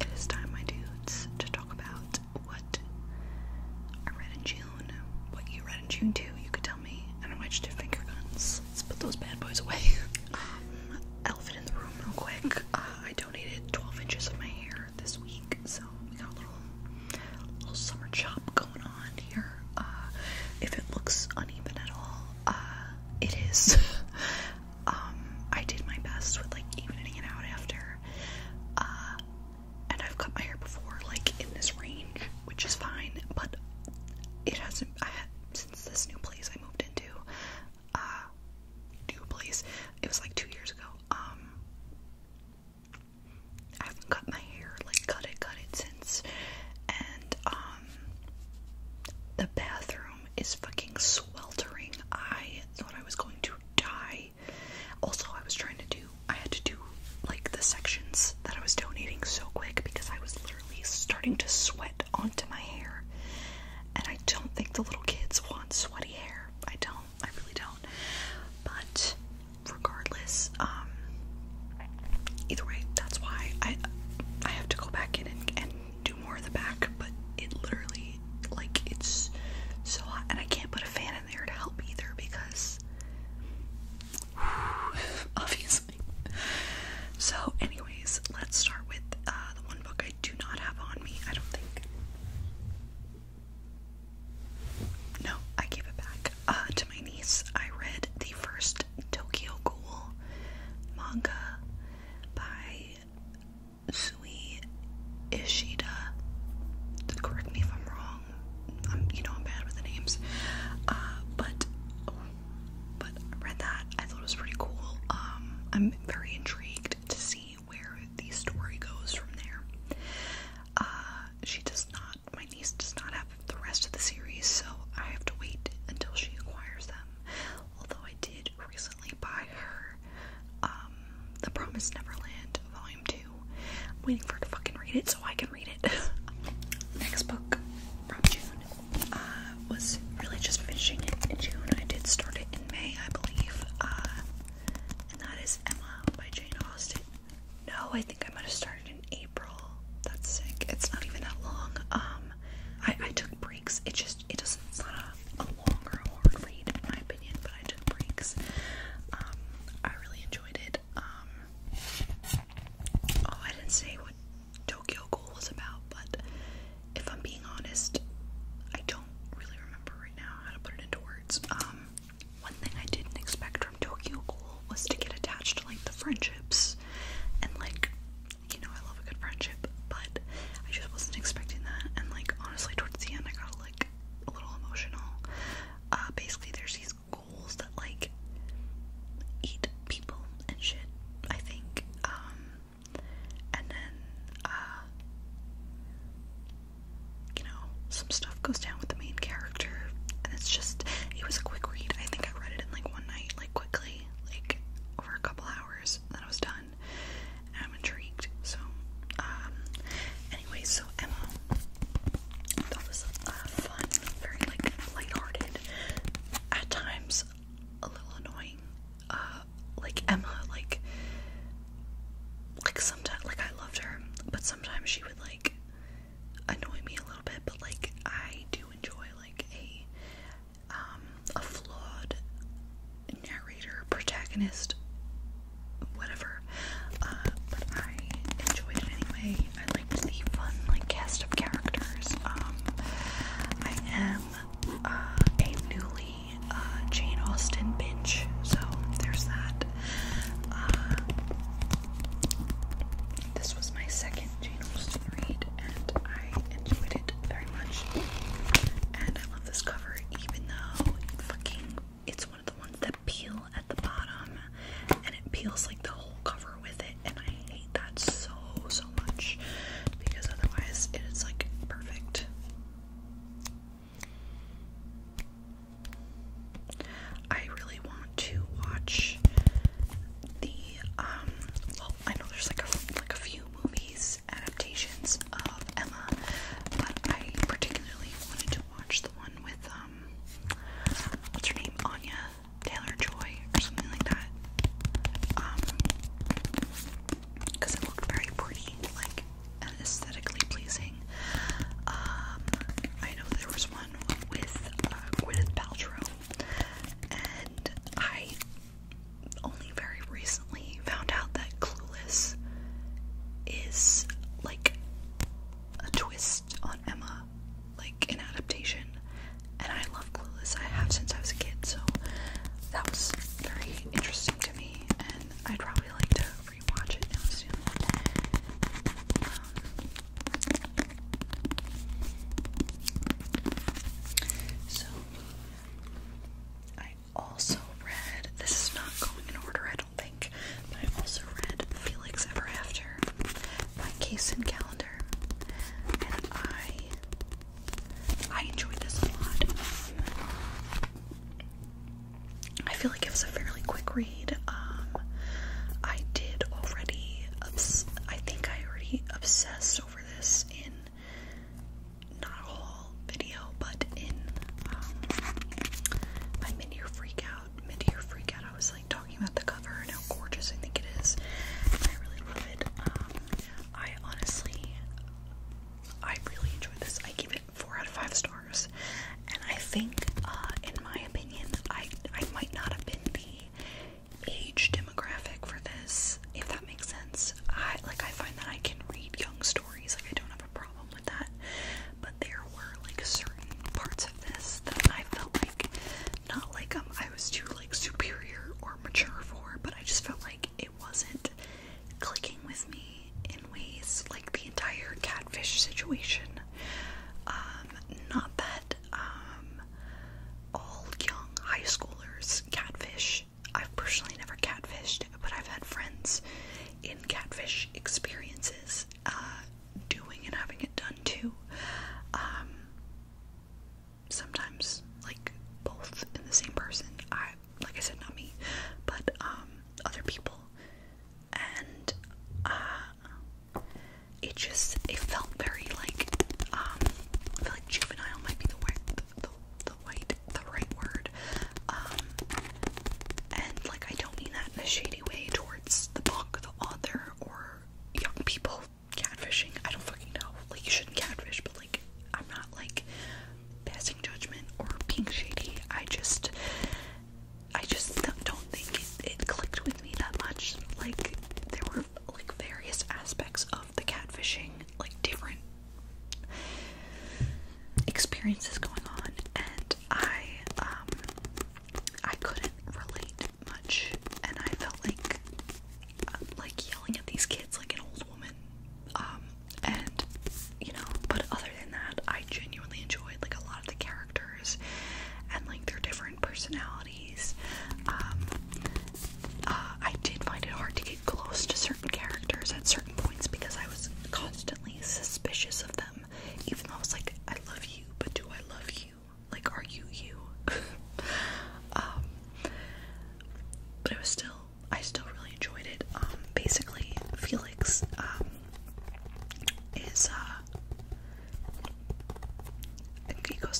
It is time, my dudes, to talk about what I read in June. What you read in June, too, you could tell me. And I watched two finger guns. Let's put those bad boys away. Um, elephant in the room, real quick. Uh, I donated 12 inches of my hair this week, so we got a little, summer chop going on here. Uh, if it looks uneven at all, uh, it is. um, I did my best with like evening it out after. Uh, and I've cut my hair before, like in this range, which is fine, but it hasn't. I had, since this new place I moved into, uh, new place, it was like two years ago. Um, I haven't cut my hair, like cut it, cut it since. And, um, the bathroom is fucking sweltering. I thought I was going to die. Also, I was trying to do, I had to do like the sections that I was donating so quick because I was literally starting to sweat onto my hair. And I don't think the little kids want sweaty hair. I don't. I really don't. But regardless, um, either way, that's why I I have to go back in and do more of the back, but it literally, like, it's so And I can't put a fan in there to help either because, obviously. So, anyways, let's start with uh, the one book I do not have on me, I don't think. No, I gave it back uh, to my niece. I read the first Tokyo Ghoul manga by Sui Ishida. Correct me if I'm wrong. you know I'm bad with the names. Uh, but but I read that. I thought it was pretty cool. Um, I'm very intrigued to see where the story goes from there. Uh, she does not. My niece does not have the rest of the series, so I have to wait until she acquires them. Although I did recently by her, um, The Promised Neverland, Volume 2. I'm waiting for her to fucking read it so I can read it. Next book from June. Uh, was really just finishing it in June. I did start it in May, I believe. Uh, and that is Emma by Jane Austen. No, I think I might have started in April. That's sick. It's not even that long. Um, I, I took breaks. It just it doesn't it's not a, longer or more read in my opinion, but I took breaks. Um, I really enjoyed it. Um, oh, I didn't say what Tokyo Ghoul was about, but if I'm being honest, I don't really remember right now how to put it into words. Um, one thing I didn't expect from Tokyo Ghoul was to get attached to like the friendships and like you know I love a good friendship, but I just wasn't expecting that. And like honestly, towards the end, I got like a little emotional. Uh, basically, there's these goals that like eat people and shit. I think. Um, and then uh, you know, some stuff goes down with the main character, and it's just it was a quick read. I think I read it in like one night, like quickly, like over a couple hours, and I was done. I'm intrigued. So, um, anyway, so Emma, that was uh, fun, very like lighthearted, at times a little annoying. Uh, like Emma, like, like sometimes, like I loved her, but sometimes she would like annoy me a little bit. But like I do enjoy like a um, a flawed narrator, protagonist, whatever. Uh, but I enjoyed it anyway. I liked the fun, like cast of characters. Um, I am uh, a newly uh, Jane Austen binge, so there's that. this was my second Jane Austen read, and I enjoyed it very much. And I love this cover, even though fucking it's one of the ones that peel at the bottom and it peels like the whole cover with it. And I hate that so, so much because otherwise it is like perfect. I really want to watch the um well I know there's like like a few movies adaptations of Emma, but I particularly wanted to watch the one with um, what's her name, Anya Taylor Joy or something like that, um, because it looked very pretty, like aesthetically pleasing. Um, I know there was one with uh, Gwyneth and I only very recently found out that Clueless is like a twist on Emma, like an adaptation. And I love Clueless. I have since I was a kid, so that was very interesting to me, and I'd probably like to rewatch it now soon. Um, so I also read, this is not going in order, I don't think, but I also read Felix Ever After by Case and Calendar, and I, I enjoyed this a lot. I feel like it was a fairly quick read. Um, I did already, obs I think I already obsessed over this in not a whole video, but in um, my mid-year freakout, mid-year freakout, I was like talking about the cover and how gorgeous I think it is. And I really love it. Um, I honestly, I really enjoyed this. I give it four out of five stars, and I think, uh, in my opinion, I I might not have been the age demographic for this, if that makes sense. I like I find that I can read young stories, like I don't have a problem with that. But there were like certain parts of this that I felt like not like um I was too like superior or mature for, but I just felt like it wasn't clicking with me in ways like the entire catfish situation. Um, not that um all young high schoolers catfish. I've personally never catfished, but I've had friends in catfish experiences uh, doing and having it done too. Um, sometimes, like both in the same person. I, like I said, not me, but um, other people, and uh, it just it felt very like um, juvenile might be the word, the, the right, the right word. Um, and like I don't mean that in a shady way towards the book, the author, or young people catfishing. I don't fucking know. Like you shouldn't catfish, but like I'm not like passing judgment or being shady. I just, I just don't think it, it clicked with me that much. Like there were like various aspects of of the catfishing, like different experiences going on, and I um I couldn't relate much, and I felt like uh, like yelling at these kids like an old woman. Um, and you know, but other than that, I genuinely enjoyed like a lot of the characters and like their different personalities um, uh, I did find it hard to get close to certain characters at certain points because I was constantly suspicious of them, even though I was like, I love you, but do I love you? Like, are you you? um, but it was still, I still really enjoyed it. Um, basically, Felix um, is, uh,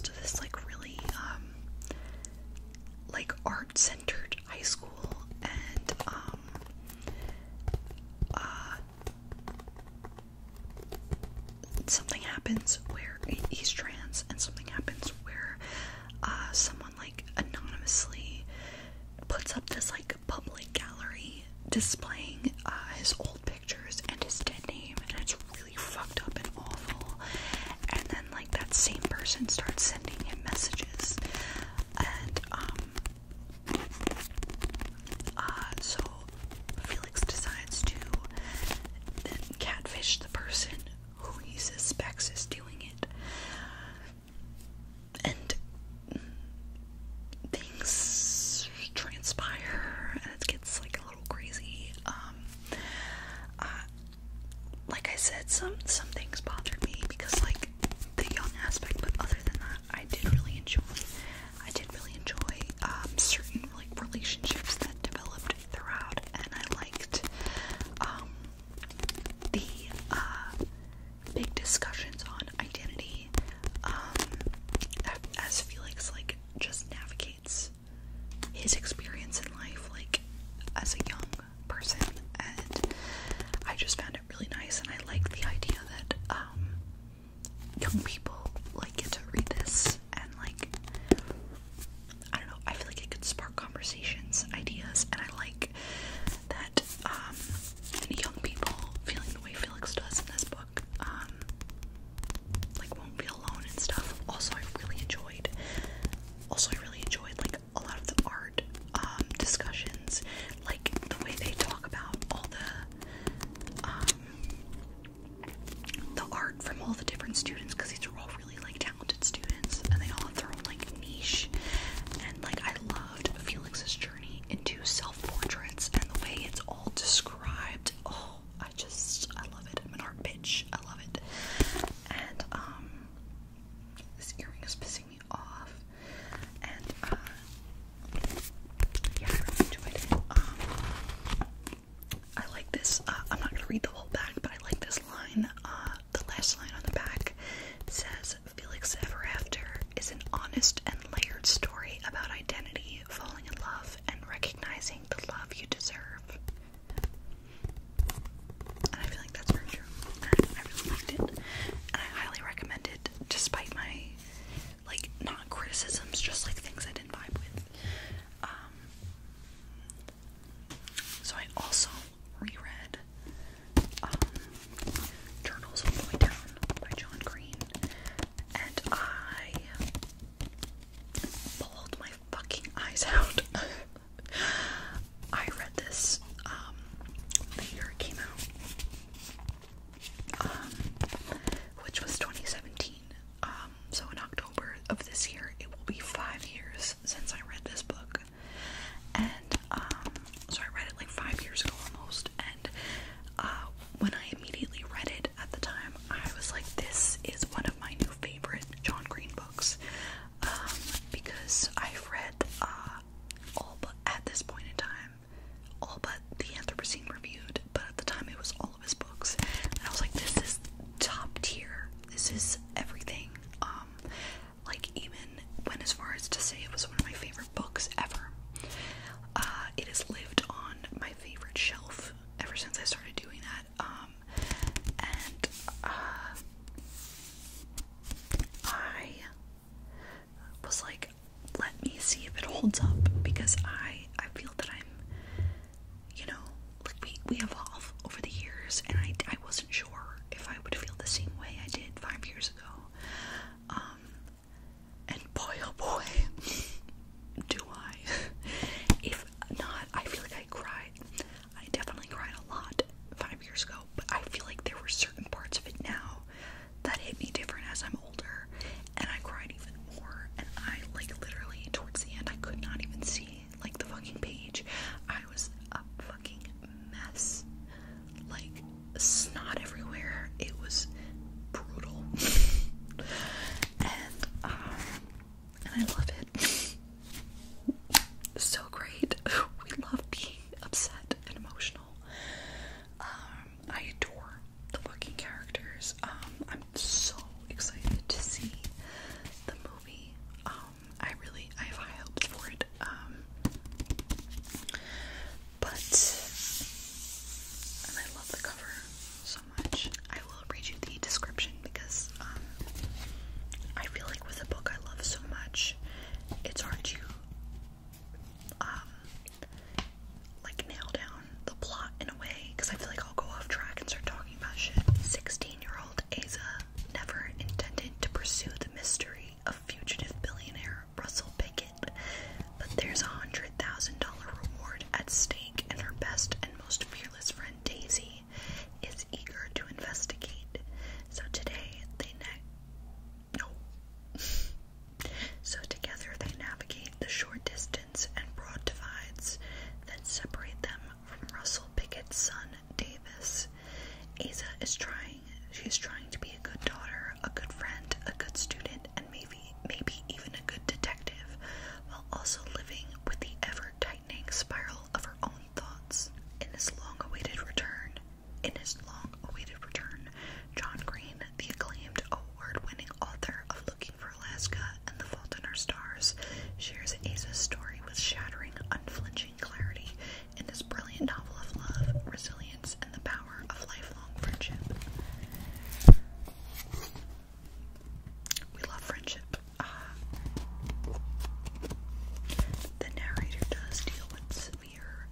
this like really um like art-centered high school and um, uh, something happens where he's trans and something happens where uh, someone like anonymously puts up this like public gallery displaying uh, his old pictures and his dead name and it's fucked up and awful. And then, like, that same person starts sending him messages. And, um, uh, so Felix decides to catfish the person who he suspects is doing it. And things transpire, and it gets like little crazy. Um, uh, like I said, some some things bothered me because like the young aspect, but other than that, I did really enjoy. I did really enjoy um, certain like relationships that developed throughout, and I liked um, the uh, big discussions on identity um, as Felix like just navigates his his experience in life like as a young person and I just found it really nice and I like the idea that um young people like get to read this and like I don't know, I feel like it could spark conversations, ideas, and I like that um young people feeling the way Felix does in this book. Um like won't be alone and stuff. Also, I really enjoyed. Also, I really enjoyed like a lot of the art um, discussions, like the way they talk about all the um, the art from all the different students because these are all really like talented students and they all have their own like niche. And like I loved Felix's journey into self portraits and the way it's all described. Oh I just, I love it. I'm an art bitch. I love it. And, um, this earring is pissing me off. And, uh, yeah, I really enjoyed it. Um, I like this. Uh, I'm not gonna read the whole back, but I like this line. Uh, the last line on the back says, Felix Ever After is an honest and layered story about identity, falling in love, and recognizing the love you deserve. And I feel like that's very true. I really liked it. And I highly recommend it despite my like not criticisms, just like things I didn't vibe with. Um so I also reread um Journals of Boy Town by John Green and I pulled my fucking eyes out. I read this um, the year it came out, um, which was 2017. Um, so in October of this year, it will be five years since I read this book, and so I read it like five years ago almost. And uh, when I immediately read it, at the time, I was like, this is one of my new favorite John Green books. Um, because I've read uh, all but at this point in time, all but the Anthropocene Reviewed, but at the time it was all of his books. And I was like, this is top tier. This is everything. Um, like even went as far as to say it was one of my favorite books ever. Uh, it has lived on my favorite shelf ever since I started doing that. Um, and uh, I was like, let me see if it holds up because I I feel that I'm, you know, like we we evolve over the years, and I I wasn't sure if I would feel the same way I did five years ago. Um, and boy oh boy, do I? if not, I feel like I cried. I definitely cried a lot five years ago, but I feel like there were certain parts of it now that hit me different as I'm older, and I cried even more. And I like literally towards the end, I could not even see like the fucking page. I was a fucking mess, like snot everywhere. It was brutal, and um, and I love it. so great. We love being upset and emotional. Um, I adore the fucking characters. Um, I'm so excited to see the movie. Um, I really I have high hopes for it. but and I love the cover, I will read you the description because um, I feel like with a book I love so much, it's hard to um, like nail down the plot in a way because I feel like I'll go off track and start talking about shit. 16 year old Asa never intended to pursue the mystery of fugitive billionaire Russell Pickett, but there's a $100,000 reward at stake, and her best and most fearless friend Daisy is eager to investigate. So today they no. so together they navigate the short distance and broad divides that separate them from Russell Pickett's son Davis. Asa is trying. She's trying to be a good daughter, a good friend, a good student, and maybe maybe even a good detective, while also living with the ever-tightening spiral of her own thoughts. In his long-awaited return, in his long-awaited return, John Green, the acclaimed award-winning author of Looking for Alaska and The Fault in Our Stars, shares Asa's story with shattering, unflinching clarity in this brilliant novel of love, resilience, and the power of lifelong friendship. We love friendship. Ah. the narrator does deal with severe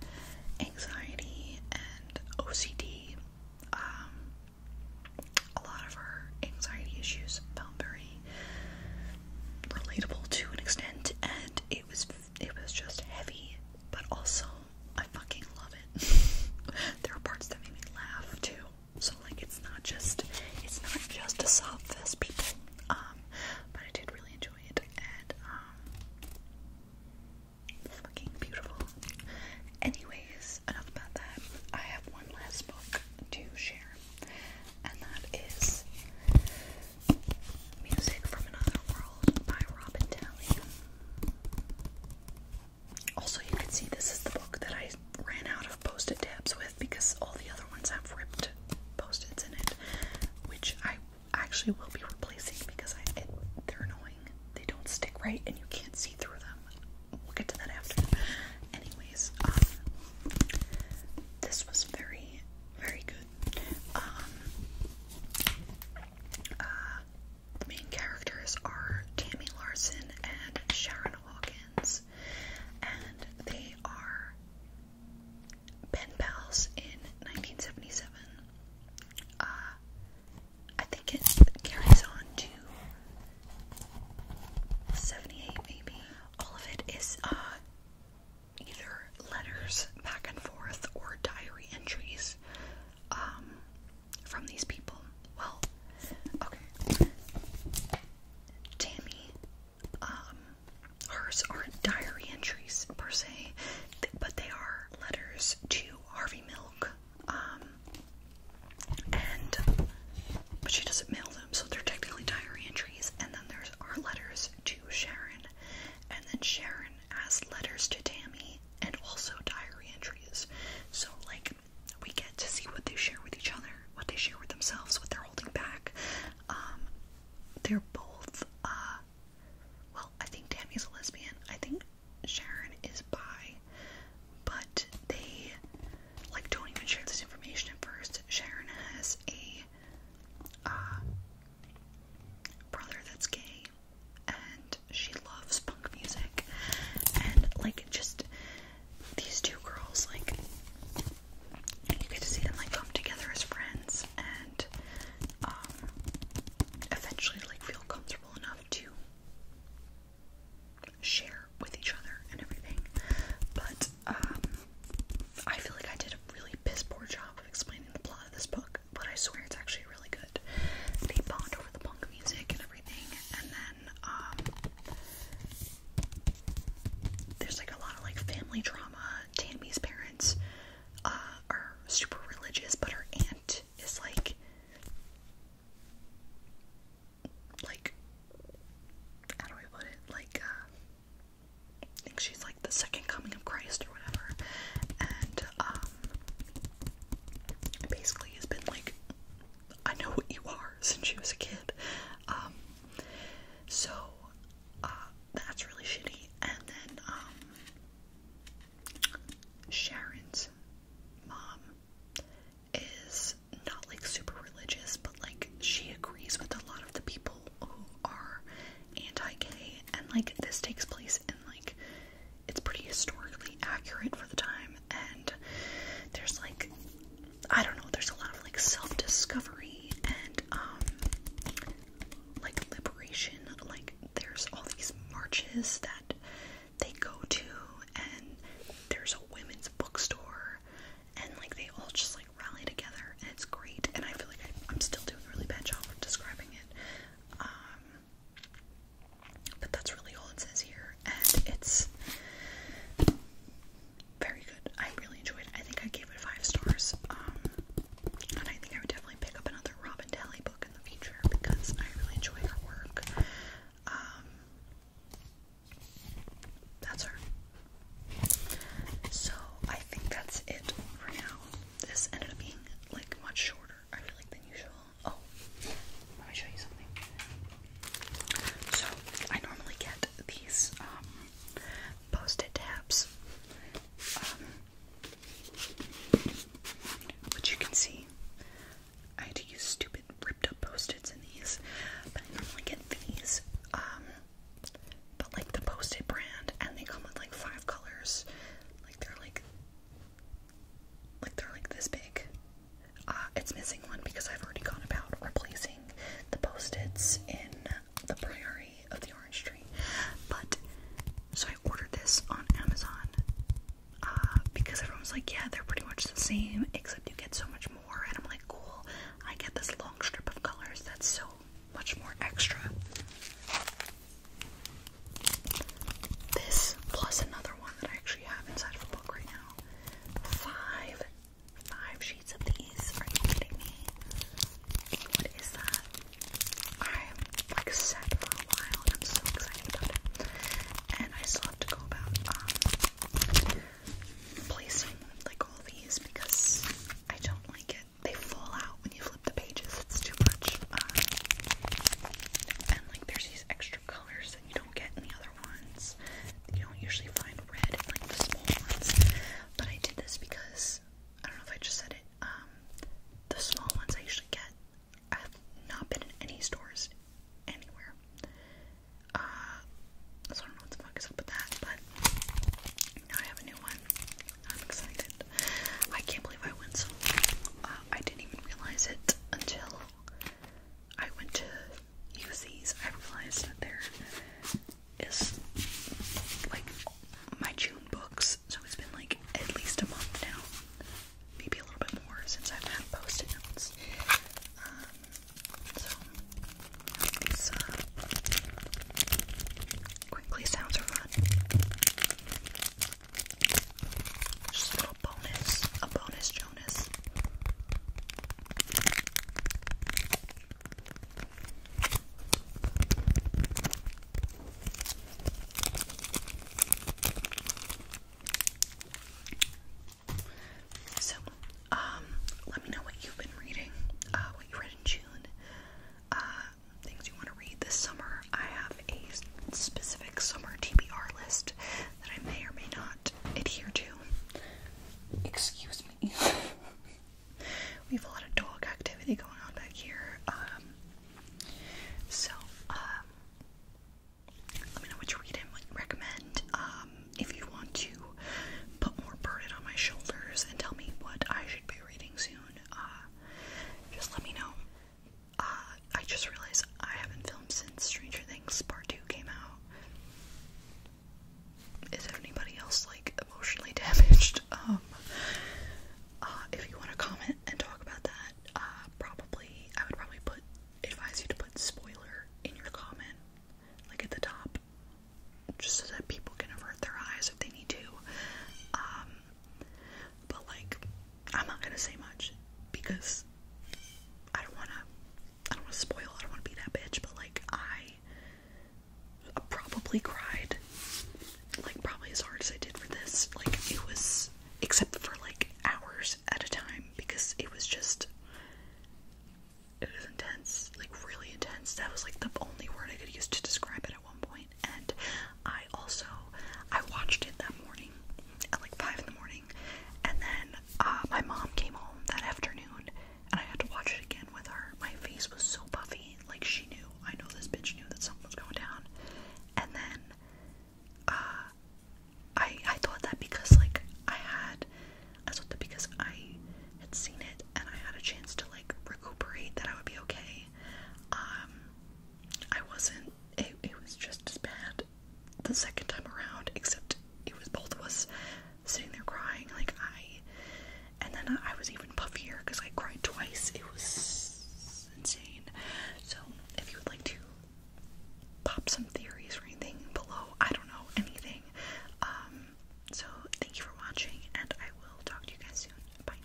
anxiety and OCD. Um, a lot of her anxiety issues felt very relatable to an extent, and it was it was just heavy, but also I fucking love it. there are parts that made me laugh too. So like it's not just it's not just a sob fest, people. Um, but I did really enjoy it and um fucking beautiful. Anyways, enough about that. I have one last book to share, and that is Music from Another World by Robin Talley. Also, you can see this is the book that I ran out of post-it tabs with because all the other ones have ripped post-its in it, which I actually will be replacing because I, they're annoying. They don't stick right, and you can't see through them. We'll get to that after. Anyways, um, this was very, very good. Um, uh, the main characters are Tammy Larson and Sharon Hawkins, and they are pen pals in 1977. Uh, I think it carries on to 78, maybe. All of it is uh, either letters back and forth or diary entries um, from these people. Well, okay. Tammy, um, hers aren't diary entries per se, but they are letters to Harvey Milk. Um, and but she doesn't mail them, so they're technically diary entries. And then there's our letters to Sharon, and then Sharon has letters to Tammy and also diary entries. So, like, we get to see what they share with each other, what they share with themselves, what they're holding back. Um, they're both, uh, well, I think is a lesbian. I think Sharon is bi, but they like don't even share this information at first. Sharon has a uh, brother that's gay, and she loves punk music and like just these two girls like you get to see them like come together as friends and um eventually like feel comfortable enough to share with each other and everything. But um I feel like I did a really piss poor job of explaining the plot of this book, but I swear it's actually really good. They bond over the punk music and um, there's like a lot of like family drama. Tammy's parents uh, are super religious, but her aunt is like like how do I put it? Like uh, I think she's like the second coming of Christ or whatever, and um, basically has been like, I know what you are since she was a kid. Um, so, uh, that's really shitty. And then, um, Sharon's mom is not like super religious, but like she agrees with a lot of the people who are anti gay. And like, this takes place in like it's pretty historically accurate for the time and there's like I don't know, there's a lot of like self-discovery and um, like liberation, like there's all these marches that they go to and there's a women's bookstore and like they all just like rally together and it's great and I feel like I, am still doing a really bad job of describing it. Um, but that's really all it says here, and it's very good. I really enjoyed it. I think I gave it five stars. Um, and I think I would definitely pick up another Robin Daly book in the future because I really enjoy her work. Um, that's her. So I think that's it for now. This ended up being like much shorter, I feel like, than usual. Oh, let me show you something. So, I normally get these um, post it tabs, which um, you can see. I had to use stupid ripped up post its in these, but I normally get these. Um, but like the Post-it brand, and they come with like five colors. Like they're like like they're like this big. Uh, it's missing one because I've already gone about replacing the post-its in the priory of the orange tree. But so I ordered this on Amazon uh, because everyone's like, yeah, they're pretty much the same except you get so much more. And I'm like, cool, I get this long strip of colors that's so much more extra. This plus another one that I actually have inside of a book right now. Five, five sheets of these. Are you kidding me? What is that? I'm like set for a while and I'm so excited about it. And I still have to go about um, placing like all these because I don't like it. They fall out when you flip the pages. It's too much. Um, and like there's these extra colors that you don't get in the other ones. You don't usually find red in like the small ones. But I did this because I don't know if I just said it. Um, the small ones I usually get. I've not been in any stores anywhere. Uh, so I don't know what the fuck is up with that, but now I have a new one. I'm excited. I can't believe I went so long. Uh, I didn't even realize it until I went to use these. I realized that there is like my June books, so it's been like at least a month now, maybe a little bit more since I've had post-it notes. Um, so uh, quickly sounds are fun. Just a little bonus, a bonus, Jonas. So, um, let me know what you've been reading, uh, what you read in June. Uh, things you want to read this summer. I have a specific summer TBR list that I may or may not adhere to. Excuse me. we have a lot of dog activity going on back here. Um, so, um, let me know what you're reading, what you recommend. Um, if you want to put more burden on my shoulders and tell me what I should be reading soon, uh, just let me know. Uh, I just realized I haven't filmed since Stranger Things Part 2 came out. Is there anybody else, like, emotionally damaged? Um, uh, if you want to comment and talk about that, uh, probably, I would probably put, advise you to put spoiler in your comment, like at the top, just so that people can avert their eyes if they need to. Um, but like, I'm not gonna say much because I don't wanna, I don't wanna spoil. I don't wanna be that bitch. But like, I probably cried, like probably as hard as I did for this. Like it was, except for like hours at a time because it was just, it was intense, like really intense. That was like the only word I could use to describe it one point, and I also I watched it that morning at like five in the morning, and then uh, my mom came home that afternoon, and I had to watch it again with her. My face was so puffy, like she knew. I know this bitch knew that something was going down, and then uh, I I thought that because like I had I thought that because I had seen it and I had a chance to like recuperate that I would be okay. Um, I wasn't. It, was just as bad the second time around, except it was both of us sitting there crying. Like I, and then I, I was even puffier because I cried twice. It was insane. So if you would like to pop some theories or anything below, I don't know anything. Um. So thank you for watching, and I will talk to you guys soon. Bye.